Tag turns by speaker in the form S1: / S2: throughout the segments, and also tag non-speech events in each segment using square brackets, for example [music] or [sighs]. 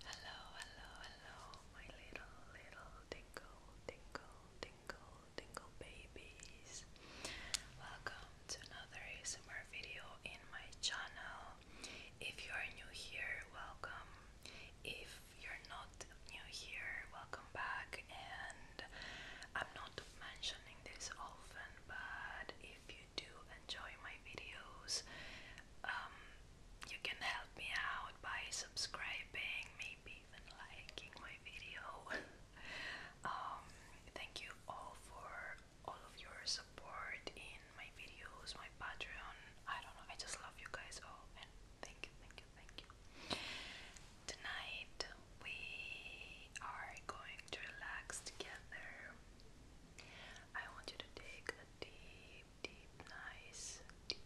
S1: Hello, hello, hello, my little, little tingle, tingle, tingle, tingle babies. Welcome to another ASMR video in my channel. If you are new here, welcome. If you're not new here, welcome back. And I'm not mentioning this often, but if you do enjoy my videos, um, you can help me out by subscribing, maybe even liking my video. [laughs] Um, thank you all for all of your support in my videos, my Patreon. I don't know, I just love you guys all, and thank you, thank you, thank you. Tonight we are going to relax together. I want you to take a deep, deep, nice, deep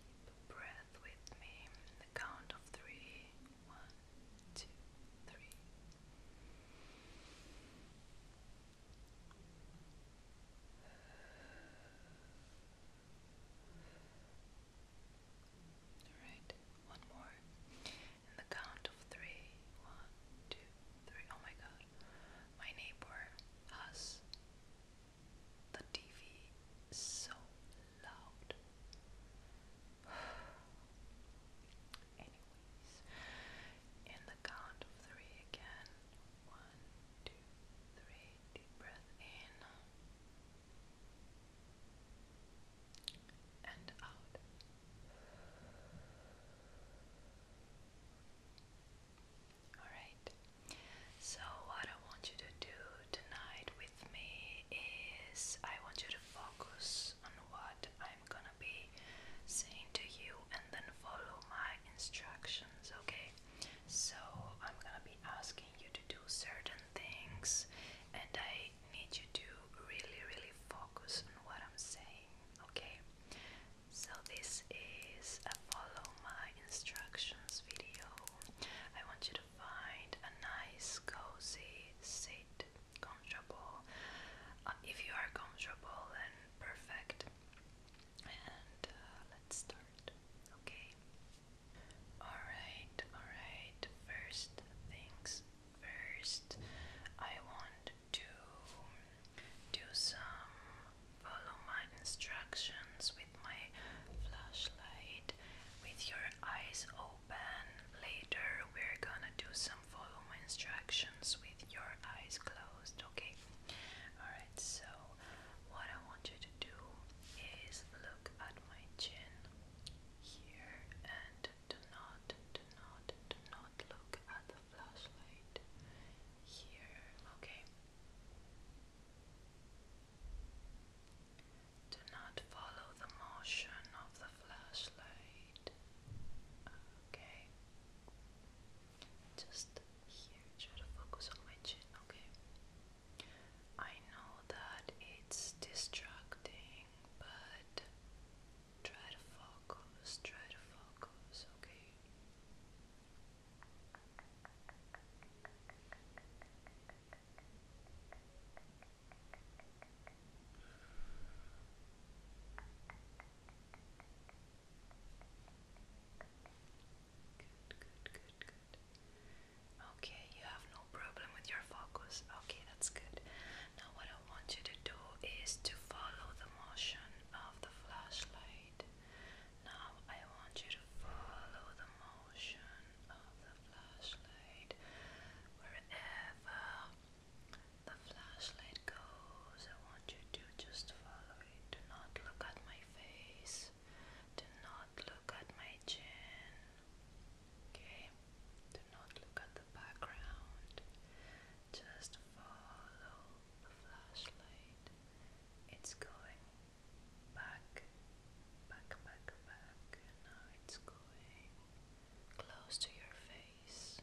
S1: breath with me. The count of three. One, Alright, one more in the count of three. One, Oh my god. My neighbor has the TV so loud. [sighs] Anyways, in the count of three again. One, two, three. Deep breath in and out. Alright, so what I want you to do tonight with me is I want you to focus on what I'm gonna be saying to you and then follow my instructions, okay? So I'm gonna be asking you to do certain things and I need you to really, really focus on what I'm saying okay so this is a follow my instructions video I want you to find a nice cozy seat comfortable um, if you are comfortable and perfect and uh, let's start okay alright alright first things First, I want to do some follow my instructions with my flashlight with your eyes open. Later, we're gonna do some follow my instructions with your eyes closed, okay? Alright, so what I want you to do is look at my chin here and do not, do not, do not look at the flashlight here, okay? Do not follow the motion of the flashlight, okay? Just here, try to focus on my chin, okay? I know that it's distracting, but Try to focus, try to focus, okay? Good, good, good, good. Okay, you have no problem with your focus. Okay, that's good. Now, what I want you to do is to follow the motion of the flashlight. Now, I want you to follow the motion of the flashlight wherever the flashlight goes. I want you to just follow it. Do not look at my face, do not look at my chin. Okay, do not look at the background, just follow the flashlight. It's going back, back, back, back, now it's going close to your face.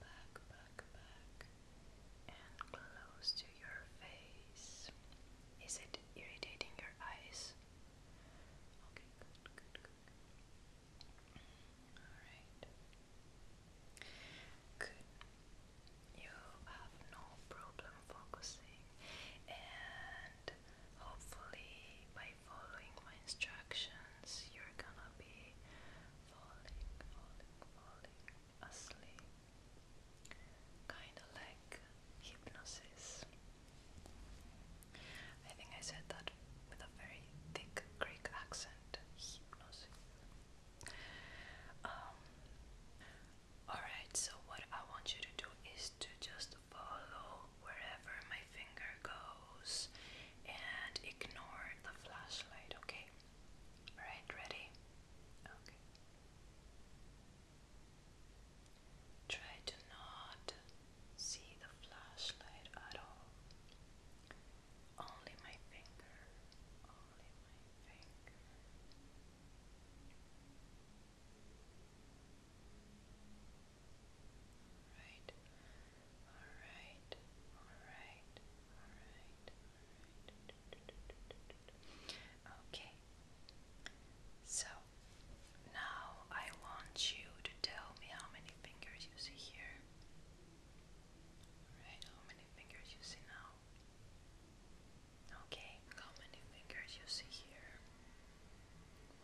S1: Back, back, back, and close to your face. Is it irritating your eyes? You have no problem focusing, and hopefully, by following my instructions, you're gonna be falling, falling, falling asleep. Kinda like hypnosis. I think I said that with a very thick Greek accent. Um, alright, so what I want you to do is to just follow wherever my finger goes and ignore the flashlight, okay? Alright, ready? Okay. Try to not see the flashlight at all. Only my finger. Only my finger. Right. All right. All right. All right. All right. Okay. So now I want you to tell me how many fingers you see here. Right, how many fingers you see now? Okay, how many fingers you see here?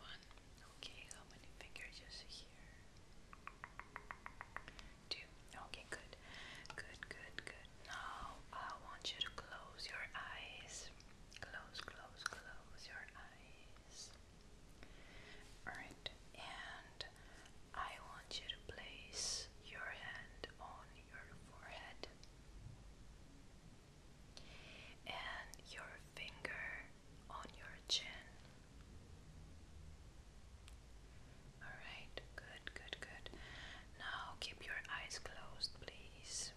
S1: One. Okay, how many fingers you see here? Two. Okay, good. Good, good, good. Now I want you to close your eyes. Close, close, close your eyes. Alright, and I want you to place your hand on your forehead and your finger on your chin. Alright, good, good, good. Now keep your eyes closed, please.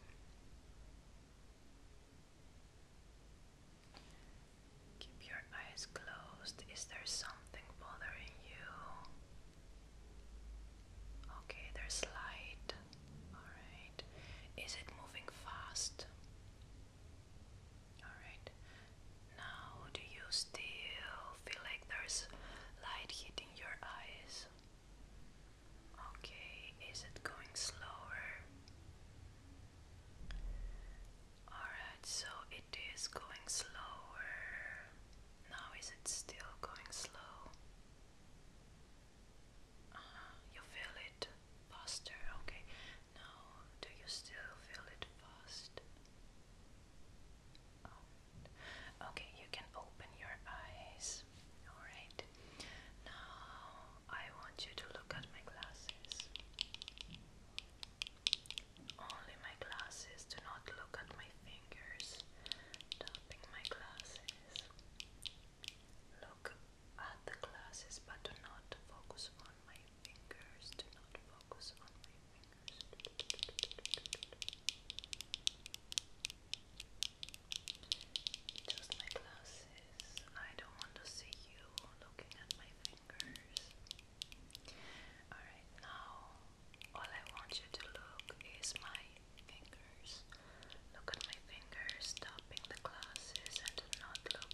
S1: Keep your eyes closed. Is there something bothering you? Okay, there's light. Alright. Is it moving fast? Alright. Now, do you still feel like there's light hitting your eyes? Okay, is it going slower? Alright, so it is going slower. Now, is it still going slow? Uh-huh, you feel it faster, okay. Now, do you still feel it fast? Okay, you can open your eyes. Alright, now I want you to look at my glasses. Only my glasses, do not look at my fingers. Tapping my glasses. Look at the glasses, but do not focus on my fingers. Do not focus on my fingers. Just my glasses. I don't want to see you looking at my fingers. Alright, now all I want you to look is my fingers. Look at my fingers, stopping the glasses, and not look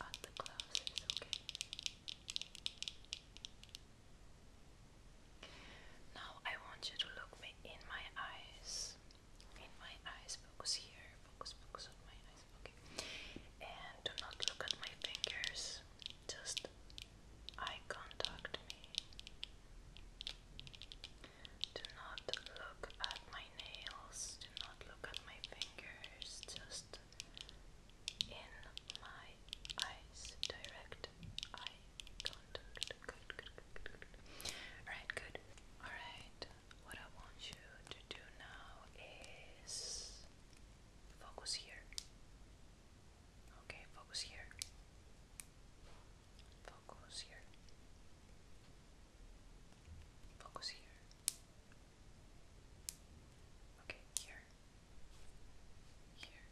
S1: at the glasses, okay? Now I want you to look me in my eyes. In my eyes, focus here, focus, focus on my eyes, okay. And do not look at my fingers, just eye contact me. Do not look at my nails, do not look at my fingers, just in my eyes, direct eye contact. Good, good, Alright, good. Alright, what I want you to do now is focus here. Okay, focus here. Focus here. Focus here. Okay, here. Here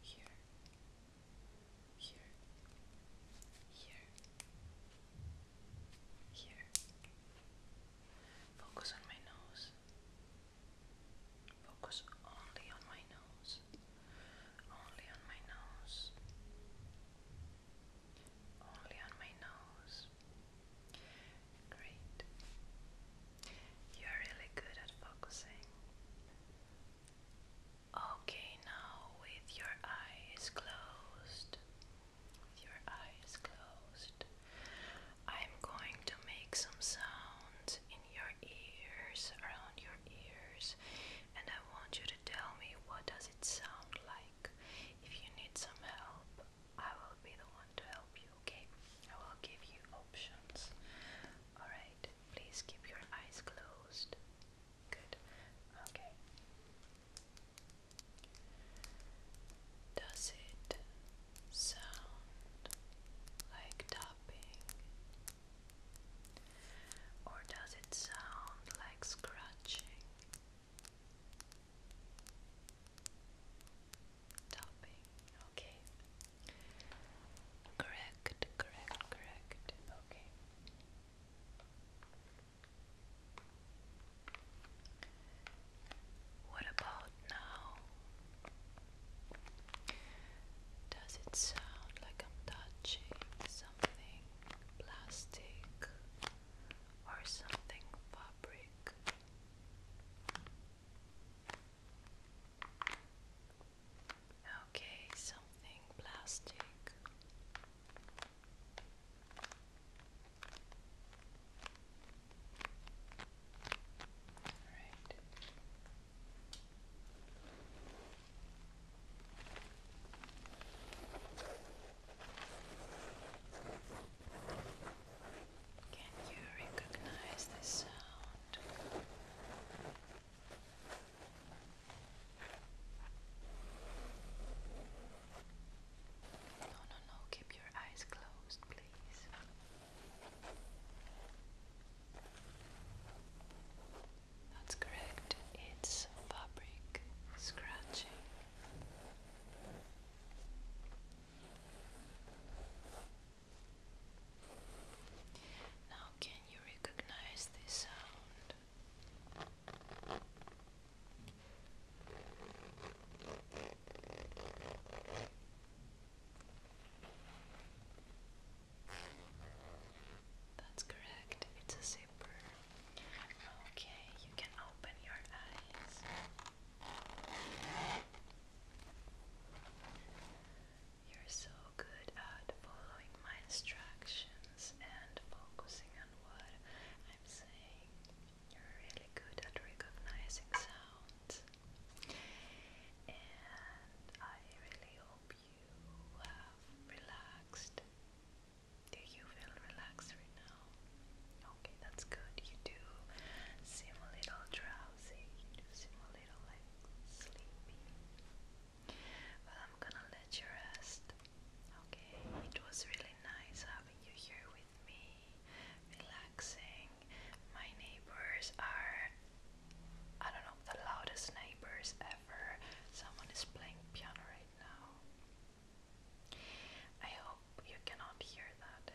S1: here, here, here, here. Focus on my nose. Focus only on my nose. Only on my nose. Only on my nose. Great. You're really good at focusing. Okay, now with your eyes closed, with your eyes closed, I'm going to make some sounds in your ears, around your ears, and I want you to tell me what does it sound like. If you need some help, I will be the one to help you, okay? I will give you options. Alright please keep your eyes closed. Good. Okay. Does it sound like tapping? Or does it sound like scratching? topping. Okay. Correct, correct, correct. Okay. What about now? Does it sound like I'm touching something plastic or something fabric? Okay, something plastic. All right. Can you recognize this sound? No, no, no, keep your eyes closed, please. That's correct, it's fabric scratching. Now, can you recognize this sound? That's correct, it's a zipper. Okay, you can open your eyes. You're so good at following my instructions and focusing on what I'm saying. You're really good at recognizing sounds. And I really hope you have relaxed. Do you feel relaxed right now? Okay, that's good. You do seem a little drowsy. You do seem a little like sleepy. But I'm gonna let you rest. Okay, it was really nice having you here with me, relaxing. My neighbors are, I don't know, the loudest neighbors ever. Someone is playing piano right now. I hope you cannot hear that.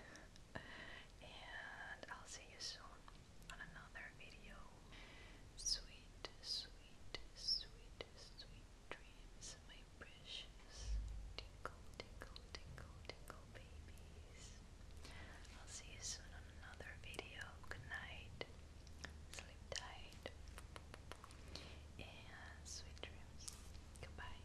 S1: And I'll see you soon on another video. Sweet, sweet, sweet, sweet dreams, my precious tinkle, tinkle, tinkle, tinkle babies. I'll see you soon on another video. Good night. Sleep tight. And sweet dreams. Goodbye.